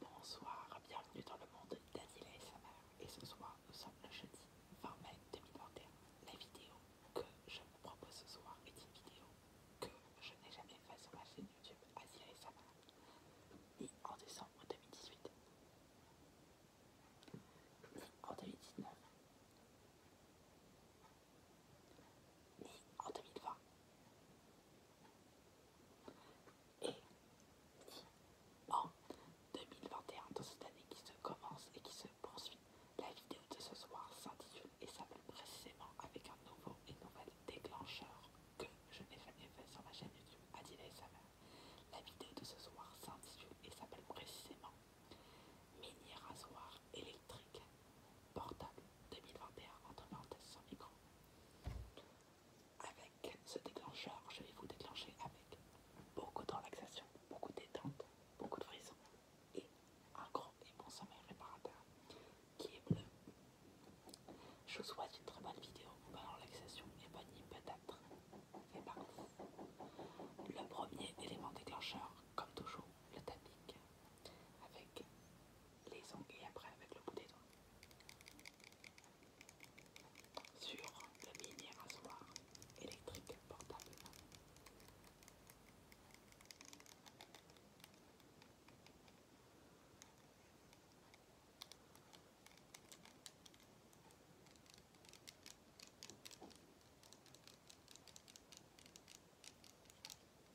Bonsoir, bienvenue dans le monde d'Azila et sa mère. Et ce soir, nous sommes le jeudi 20 mai 2021. La vidéo que je vous propose ce soir est une vidéo que je n'ai jamais faite sur ma chaîne YouTube Azila et sa mère, ni en décembre 2018, ni en 2019, ni en 2020 et en 2021, dans cette année qui se commence et qui se poursuit, la vidéo de ce soir s'intitule et s'appelle précisément avec un nouveau et nouvel déclencheur que je n'ai jamais fait sur ma chaîne YouTube Adila et sa La vidéo de ce soir s'intitule et s'appelle précisément Mini rasoir électrique portable 2021 entre parenthèses sans micro avec ce déclencheur, je vais vous déclencher avec beaucoup de relaxation, beaucoup de détente, beaucoup de frissons et un grand et bon sommeil réparateur qui est bleu. Je vous souhaite une très bonne vidéo, bonne relaxation et bonne nuit peut-être. Et par ben, le premier élément déclencheur, comme toujours, le tapis. avec les ongles et après avec le bout des doigts sur le mini rasoir électrique portable.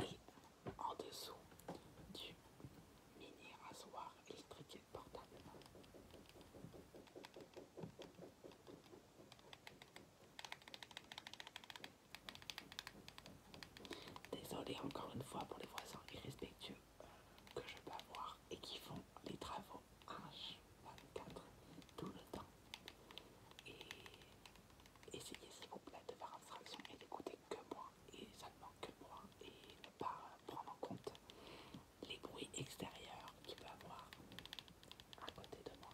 Et en dessous du mini rasoir électrique portable. Désolée encore une fois pour les voisins irrespectueux que je peux avoir et qui font les travaux H24 tout le temps. Et essayez s'il vous plaît de faire abstraction et d'écouter que moi et seulement que moi et ne pas prendre en compte les bruits extérieurs qu'il peut avoir à côté de moi.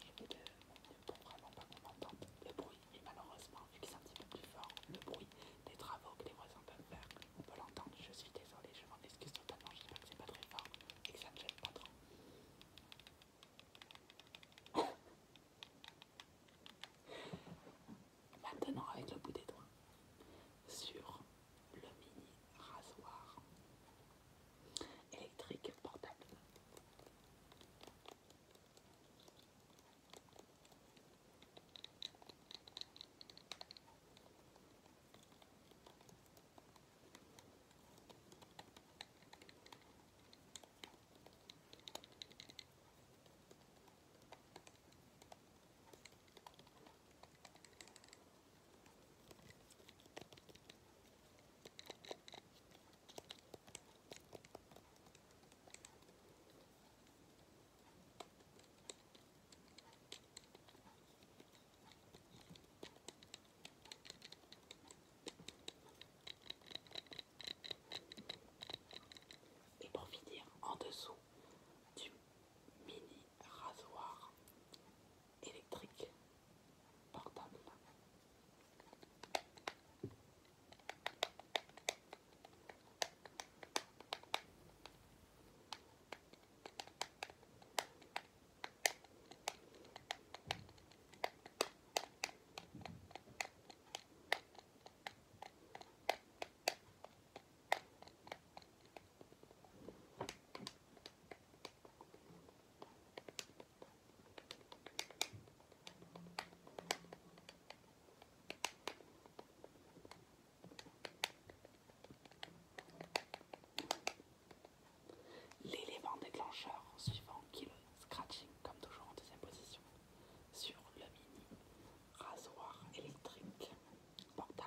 Je vais de vraiment pas vous entendre. le bruit. Et malheureusement, vu que un petit peu plus fort, le bruit des travaux que les voisins peuvent faire, on peut l'entendre. Je suis désolée, je m'en excuse totalement. pas que c'est pas très fort et que ça ne gêne pas trop. Maintenant, avec le bout des doigts, sur le mini rasoir électrique portable. Et pour finir, en dessous du mini rasoir électrique portable. L'élément déclencheur suivant qui scratching, comme toujours en deuxième position, sur le mini rasoir électrique portable.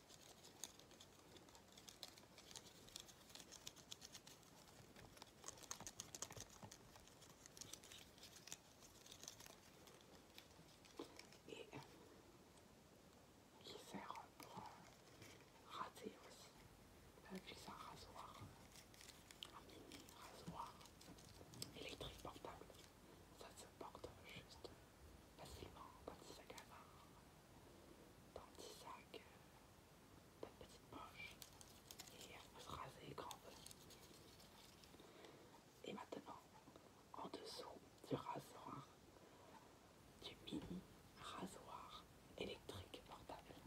Et qui sert pour rater aussi. Euh, avec un rasoir, un mini rasoir électrique portable. Ça se porte juste facilement dans petit sac à main, dans petit sac, dans petite poche, et elle peut se raser grand Et maintenant, en dessous du rasoir, du mini rasoir électrique portable.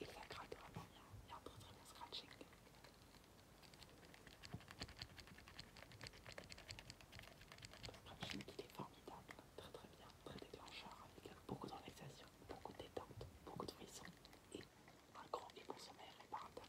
Il gratte vraiment bien, il y a un très très bien scratching. Destruction qu’il est formidable, très très bien, très déclencheur, avec beaucoup de beaucoup de détente, beaucoup de frissons et un grand et bon sommeil réparateur.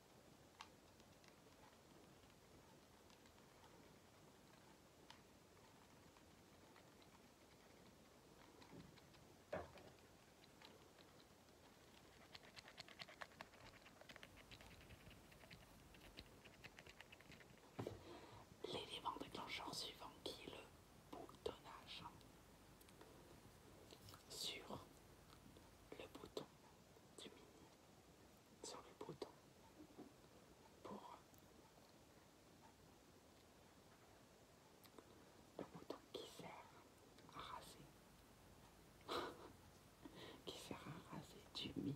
L'élément déclencheur suivant qui le boutonnage sur le bouton du sur euh, le bouton pour le bouton qui sert à raser, qui sert à raser du mini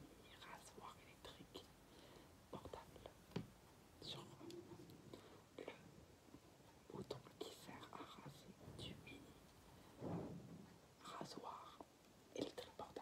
rasoir électrique portable sur le bouton qui sert à raser du mini rasoir et le électroportable.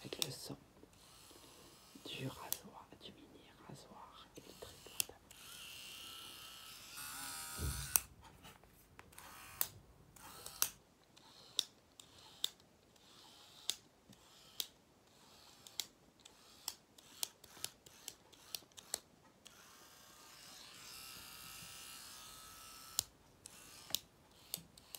avec le son du rasoir, du mini rasoir électrique.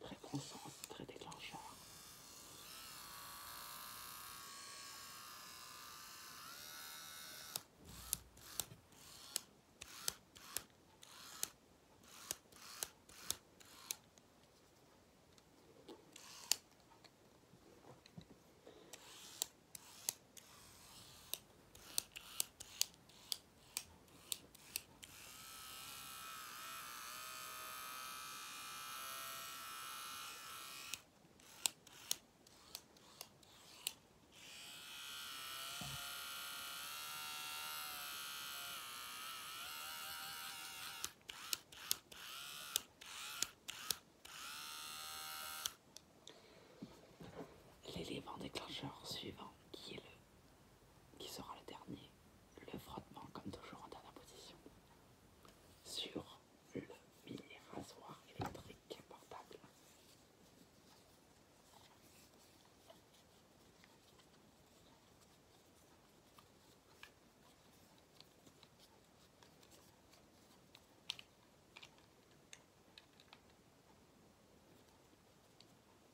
Très bon très déclencheur. L'élément déclencheur suivant qui est le qui sera le dernier, le frottement comme toujours en dernière position sur le mini rasoir électrique portable.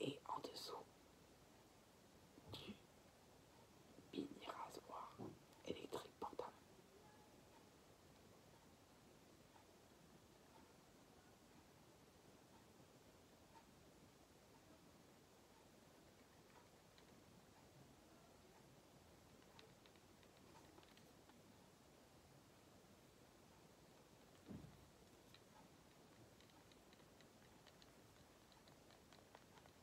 Et en dessous, du mini rasoir électrique portable.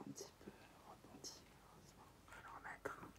un petit peu rebondi, heureusement. le remettre, hein,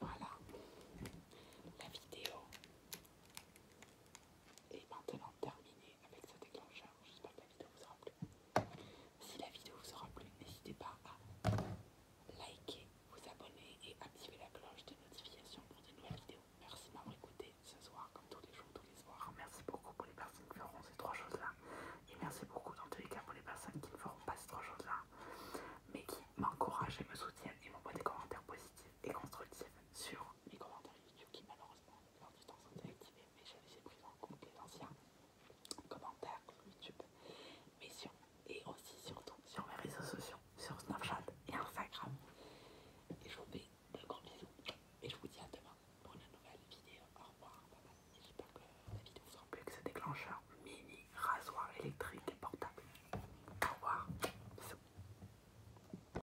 voilà, la vidéo est maintenant terminée avec ce déclencheur. J'espère que la vidéo vous aura plu. Si la vidéo vous aura plu, n'hésitez pas à liker, vous abonner et activer la cloche de notification pour de nouvelles vidéos. Merci d'avoir écouté ce soir, comme tous les jours, tous les soirs. Merci beaucoup pour les personnes qui feront ces trois choses-là. Et merci beaucoup dans tous les cas pour les personnes qui ne feront pas ces trois choses-là, mais qui m'encouragent et me soutiennent et m'envoient des commentaires positifs et constructifs sur les commentaires YouTube qui malheureusement lors du temps sans activé, mais j'ai pris en compte les anciens commentaires sur YouTube, mais et aussi surtout sur mes réseaux sociaux, sur Snapchat et Instagram. Et je vous fais de gros bisous et je vous dis à demain pour une nouvelle vidéo. Au revoir, J'espère que la vidéo vous plus plu, que ce déclencheur mini rasoir électrique portable. Au revoir,